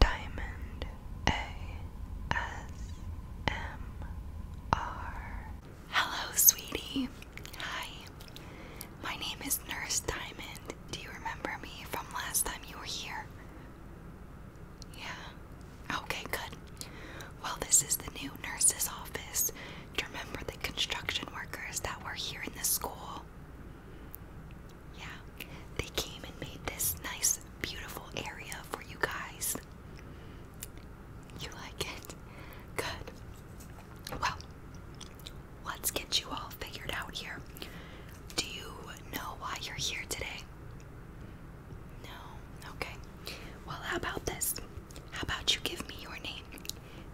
Diamond ASMR. Hello, sweetie. Hi. My name is Nurse Diamond. Do you remember me from last time you were here? Yeah. Okay, good. Well, this is the new nurse's office. you remember the construction workers that were here in the school? Yeah, they came and made this nice, beautiful area for you guys. You like it? Good. Well, let's get you all figured out here. Do you know why you're here today? No? Okay. Well, how about this? How about you give me your name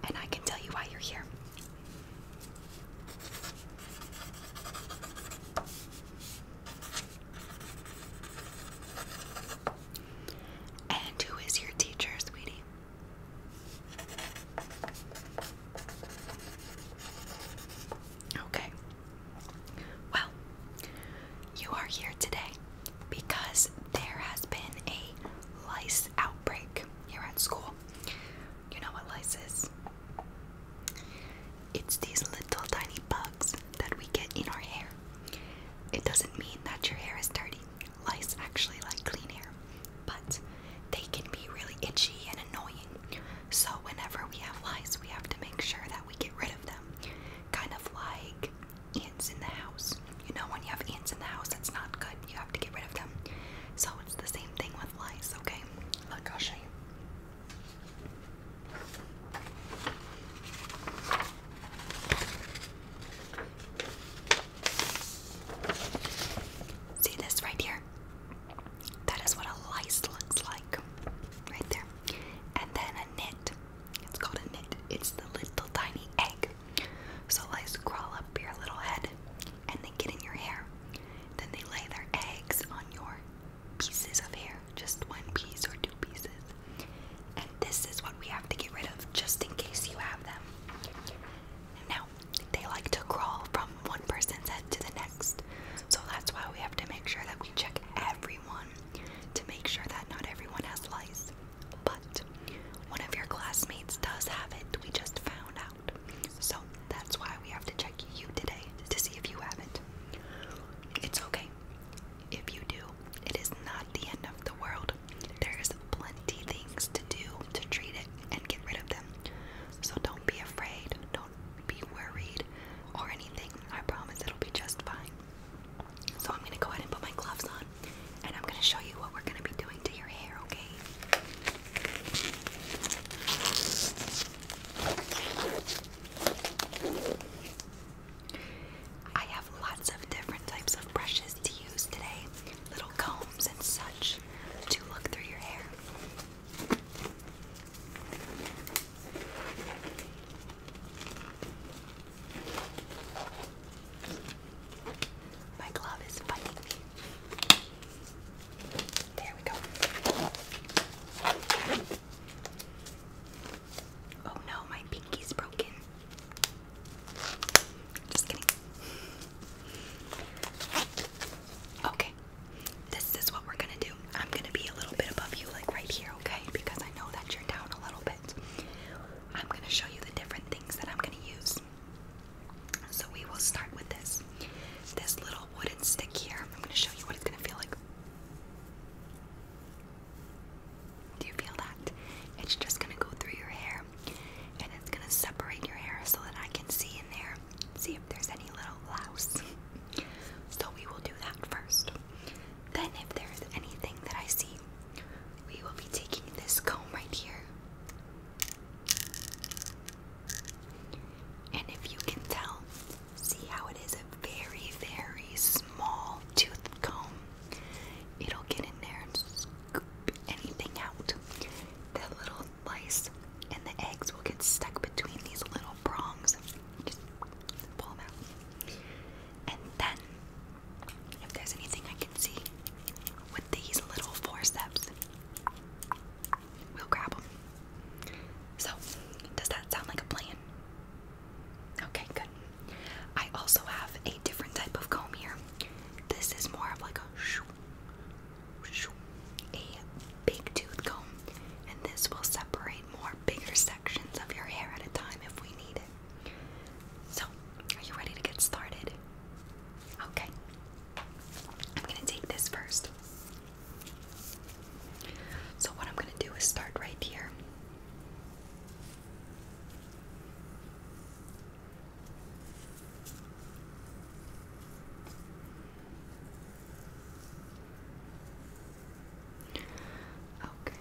and I can tell you why you're here? And who is your teacher, sweetie? Okay. Well, you are here today because there has been a lice outbreak here at school. You know what lice is? It's these little tiny bugs that we get in our hair. It doesn't mean that your hair is dirty. Lice actually like clean hair, but they can be really itchy and annoying. So, whenever we have lice, we have to make sure that we get rid of them. Kind of like ants in the house. You know, when you have ants in the house, that's not good. You have to get rid of them. So, it's the same thing with lice, okay? Look, i See this right here? That is what a lice looks like. Right there. And then a knit. It's called a knit. It's the little tiny egg. So lice crawl up your little head and they get in your hair. Then they lay their eggs on your pieces of hair, just one piece or two pieces. And this is what we have to get rid of just in case you have them. Now, they like to crawl from one person's head to the next. So that's why we have to make sure that we check everyone to make sure that not everyone has lice. But one of your classmates does have it. We just found out. So that's why we have to check you today to see if you have it. It's okay. If you do, it is not the end of the world. There's plenty things to do to treat it and get rid of them. So don't be afraid, don't be worried or anything. I promise it'll be just fine. So I'm going to go ahead and put my gloves on and I'm going to show you what we're going to be doing to your hair, okay? I have lots of different types of brushes to use today, little combs and such, to look through your hair. My glove is biting there we go. Oh no, my pinky's broken. Just kidding. Okay, this is what we're gonna do. I'm gonna be a little bit above you, like right here, okay? Because I know that you're down a little bit. I'm gonna show you the different things that I'm gonna use. So we will start with this. This little wooden stick here. I'm going to show you what it's going to feel like. Do you feel that? It's just going to go through your hair and it's going to separate your hair so that I can see in there, see if there's any little louse. so we will do that first. Then, if there's anything that I see, we will be taking this comb right here and if you can tell, see how it is a very, very small tooth comb. It'll get in there and scoop anything out. The little lice and the eggs will get stuck between these little prongs. Just pull them out. And then, if there's anything I can see with these little forceps, we'll grab them. So, does that sound like a plan? Okay, good. I also have a different type of comb here. This is more of like a a big tooth comb, and this will separate more bigger sections of your hair at a time if we need it. So, are you ready to get started? Okay, I'm gonna take this first. So, what I'm gonna do is start right here. Okay.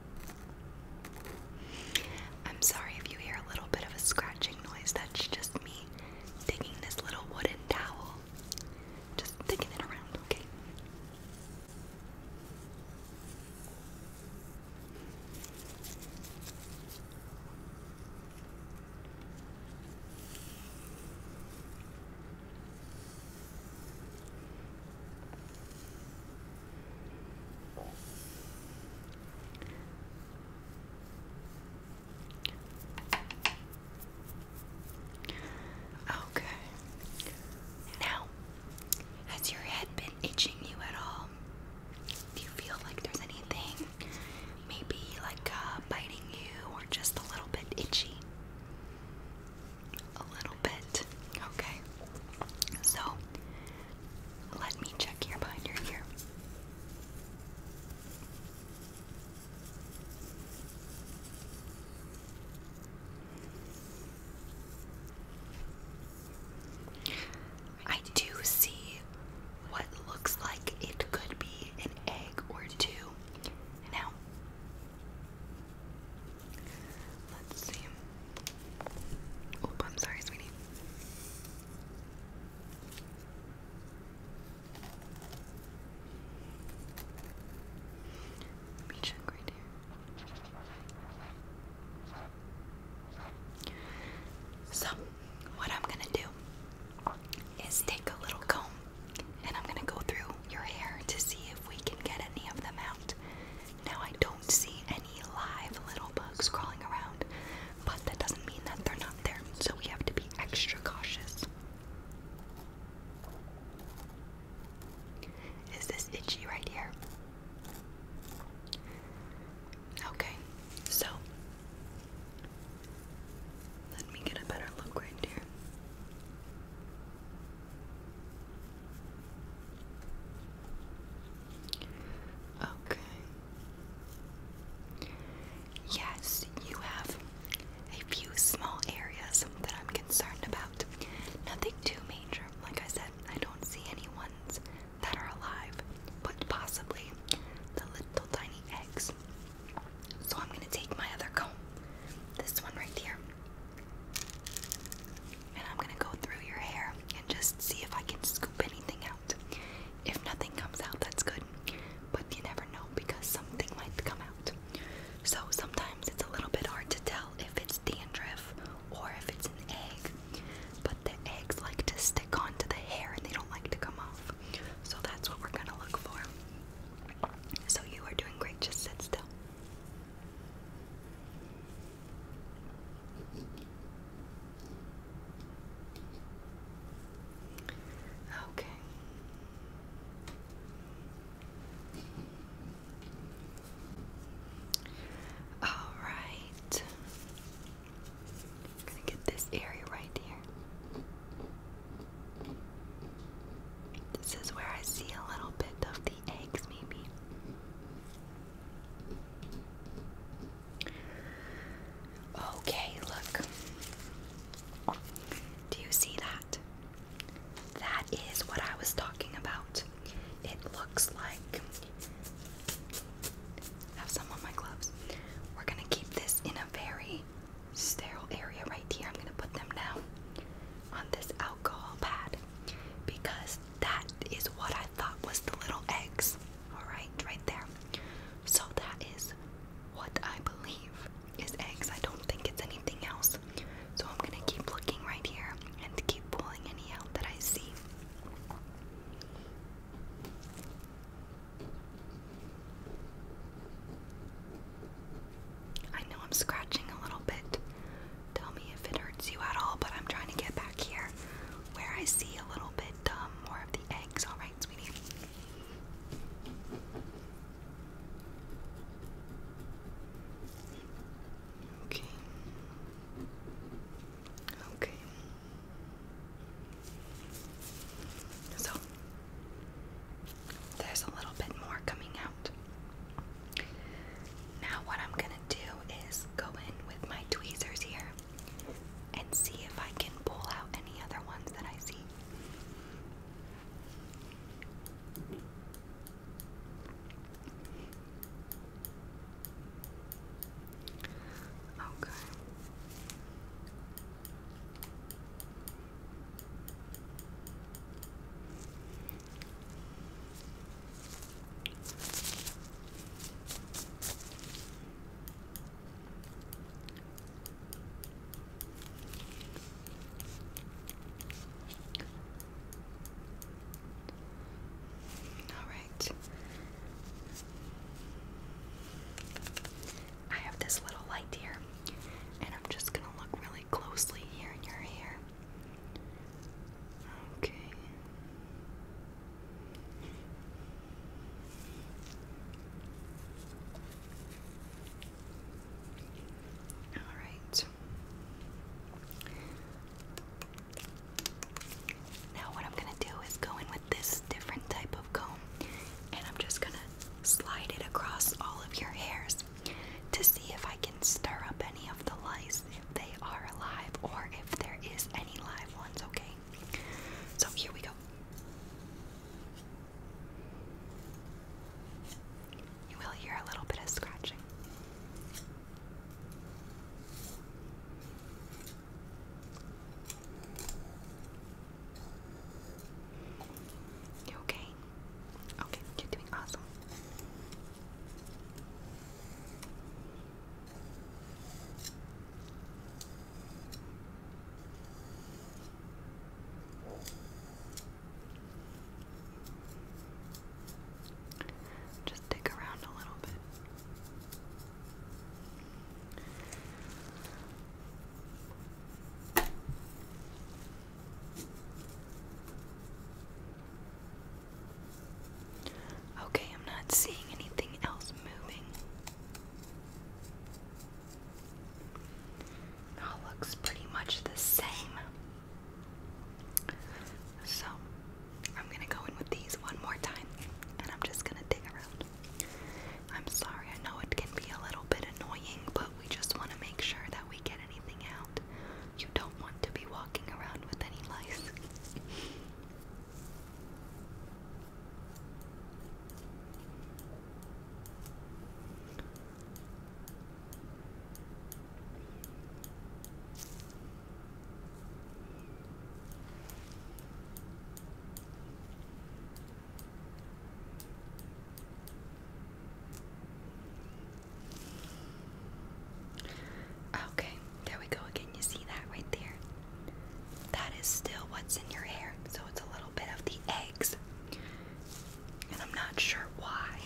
I'm sorry if you hear a little bit of a scratching noise. That's just me digging this little wooden towel. Just digging it around, okay? Okay. Now, has your head been itching you at all? Do you feel like there's anything maybe like uh, biting you or just a little bit itchy? A little bit. Okay. So let me check here behind your ear. I do see what looks like it could be an egg or two. Now, Let's see. Oh, I'm sorry, sweetie. Let me check right here. So, what I'm gonna do is take a little comb and I'm gonna go through your hair to see if we can get any of them out. Now, I don't see any live little bugs crawling around, but that doesn't mean that they're not there, so we have to be extra cautious. Is this itchy right here? Okay, so let me get a better look right here. Okay. Yes, you have a few small areas that I'm concerned about. Nothing too major. Like I said, I don't see any ones that are alive, but possibly the little tiny eggs. So I'm going to take my other comb, this one right here, and I'm gonna go through your hair and just see if I can scoop anything out. If nothing comes out, that's good, but you never know because something might come out. So sometimes it's a little bit hard to tell if it's dandruff or if it's an egg, but the eggs like to stick onto the hair and they don't like to come off. So that's what we're gonna look for. So you are doing great, just sit still. Okay. All right. I'm going to get this area right here. This is where I see a little bit of the eggs, maybe. Okay, look. Do you see that? That is what I was talking about. It looks like. have some on my gloves. We're gonna keep this in a very sterile area right here. I'm gonna put them down on this alcohol pad because that is what I thought was the little eggs. Alright, right there. So that is what I believe is eggs. I don't think it's anything else. So I'm gonna keep looking right here and keep pulling any out that I see. I know I'm scratching a little bit. Tell me if it hurts you at all, but I'm trying to get back here where I see a little bit um, more of the eggs. Alright, sweetie. Okay. Okay. So, there's a little bit more coming out. Now, what I'm gonna do is go in with my tweezers here and see if I can pull out any other ones that I see. Okay. All right. I have this little light here, and I'm just going to look really closely here in your hair. Okay. All right. Now, what I'm going to do is go in with this different type of comb and I'm just going to slide it across all of your hairs to see if I can stir up any of the lice if they are alive or if there is any live ones, okay? So here we go. You will hear a little bit of scratching. You okay? Okay, you're doing awesome. Just dig around a little bit. Okay, I'm not seeing anything else moving. all looks pretty much the same. So, I'm gonna go in with these one more time and I'm just gonna dig around. I'm sorry, I know it can be a little bit annoying, but we just wanna make sure that we get you don't want to be walking around with any lice. Okay, there we go again. You see that right there? That is still what's in your hair, so it's a little bit of the eggs. And I'm not sure why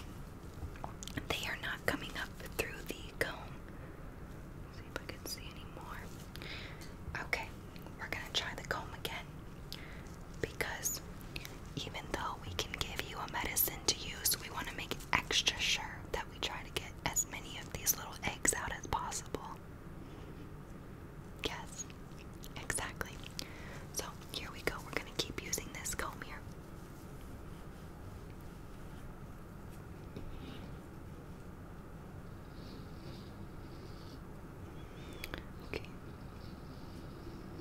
they are not coming up through the comb. see if I can see any more. Okay, we're gonna try the comb again because even though we can give you a medicine to use, we want to make extra sure that we try to get as many of these little eggs out as possible. Yes, exactly. So here we go. We're going to keep using this comb here. Okay.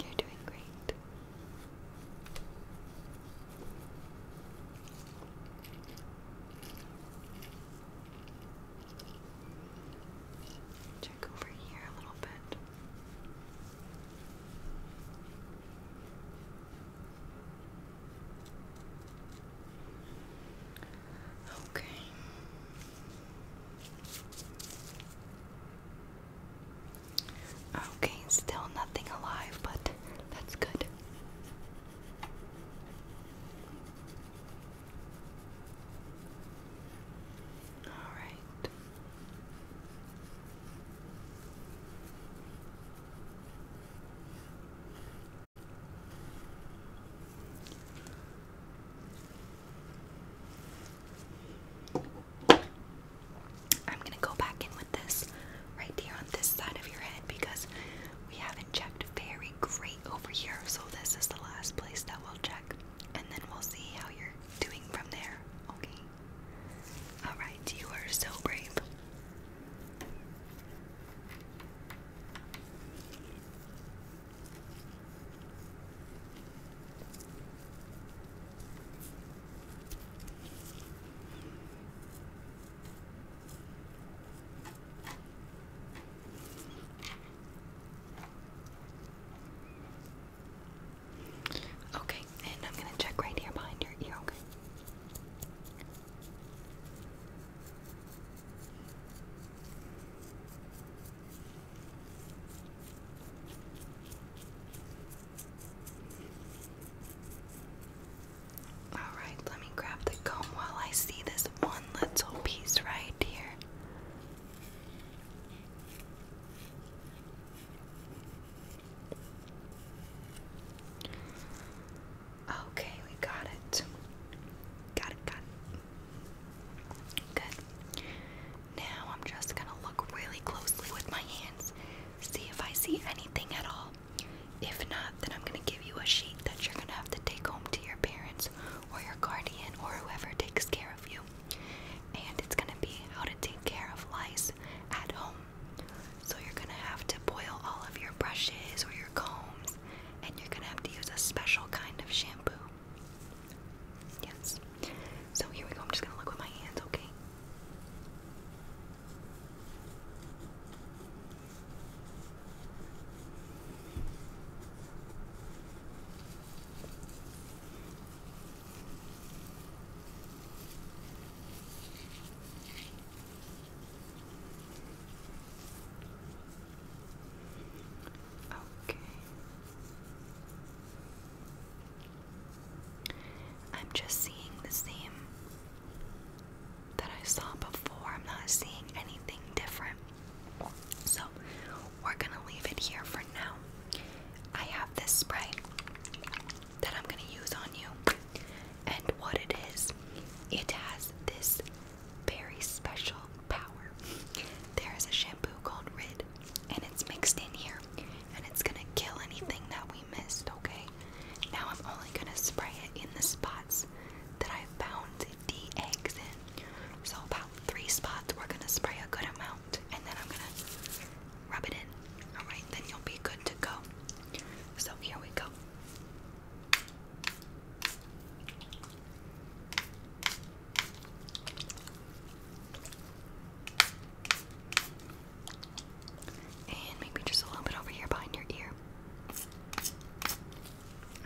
You're doing great. Check over here a little bit. Okay. Okay, still nothing alive, but that's good. All right. I'm gonna go back in with this right here on this side of your head because we haven't checked very great over here, so this is the last place that we'll check, and then we'll see how you're doing from there. Okay. Alright, you are so brave. Okay, and I'm going to check right here behind your ear, okay? All right, let me grab the comb while I see this one little piece right here. Okay, we got it. Got it, got it. Good. Now I'm just gonna look really closely with my hands, see if I see anything at all. If not, then I'm gonna give you a sheet that you're gonna have to take home to your parents or your guardian or whoever takes care of you. And it's gonna be how to take care of lice at home. So you're gonna have to boil all of your brushes or your combs, and you're gonna have to use a special kind of shampoo. Yes. So here we go. I'm just gonna look with my hands, okay? Okay. Okay. I'm just seeing the same that I saw before. I'm not seeing anything different. So, we're going to leave it here for now. I have this spray that I'm going to use on you. And what it is, it has this very special power. There is a shampoo called Rid, and it's mixed in here, and it's gonna kill anything that we missed, okay? Now I'm only gonna spray it in the spots that I found the eggs in. So, about three spots, we're gonna spray a good amount, and then I'm gonna rub it in. Alright, then you'll be good to go. So, here we go. And maybe just a little bit over here behind your ear.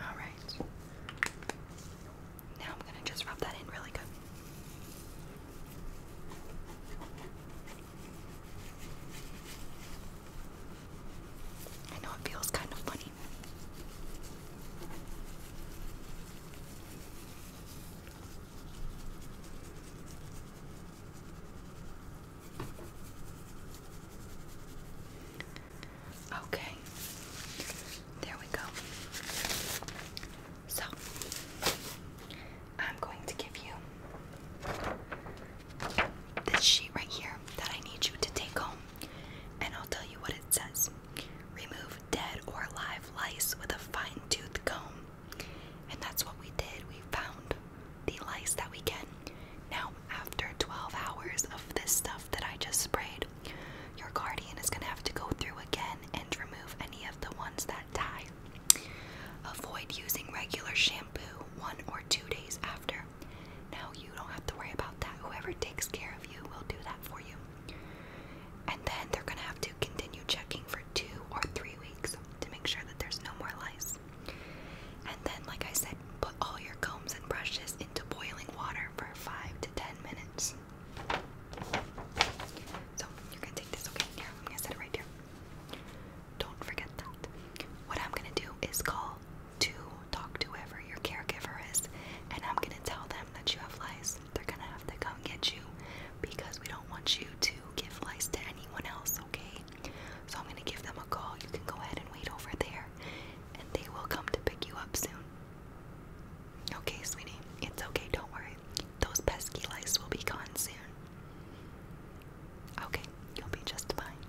Alright. Now I'm going to just rub that in really good. I know it feels kind of funny. Okay, there we go. So, I'm going to give you this sheet right here that I need you to take home and I'll tell you what it says remove dead or live lice with a fine tooth comb. And that's what we did. We found the lice that we can. Now, after 12 hours of this stuff that I just sprayed, your guardian is going to have to go through again and remove any of the ones that die. Avoid using regular shampoo one or two days after now you don't have to worry about that. Whoever takes care of you will do that for you. And then they're going to have to continue checking for two or three weeks to make sure that there's no more lice. And then, like I said, put all your combs and brushes into boiling water for five to ten minutes. So, you're going to take this, okay? Here, I'm going to set it right here. Don't forget that. What I'm going to do is call to talk to whoever your caregiver is, and I'm gonna tell them that you have lice. They're gonna have to come get you because we don't want you to give lice to anyone else, okay? So I'm gonna give them a call. You can go ahead and wait over there, and they will come to pick you up soon. Okay, sweetie, it's okay, don't worry. Those pesky lice will be gone soon. Okay, you'll be just fine.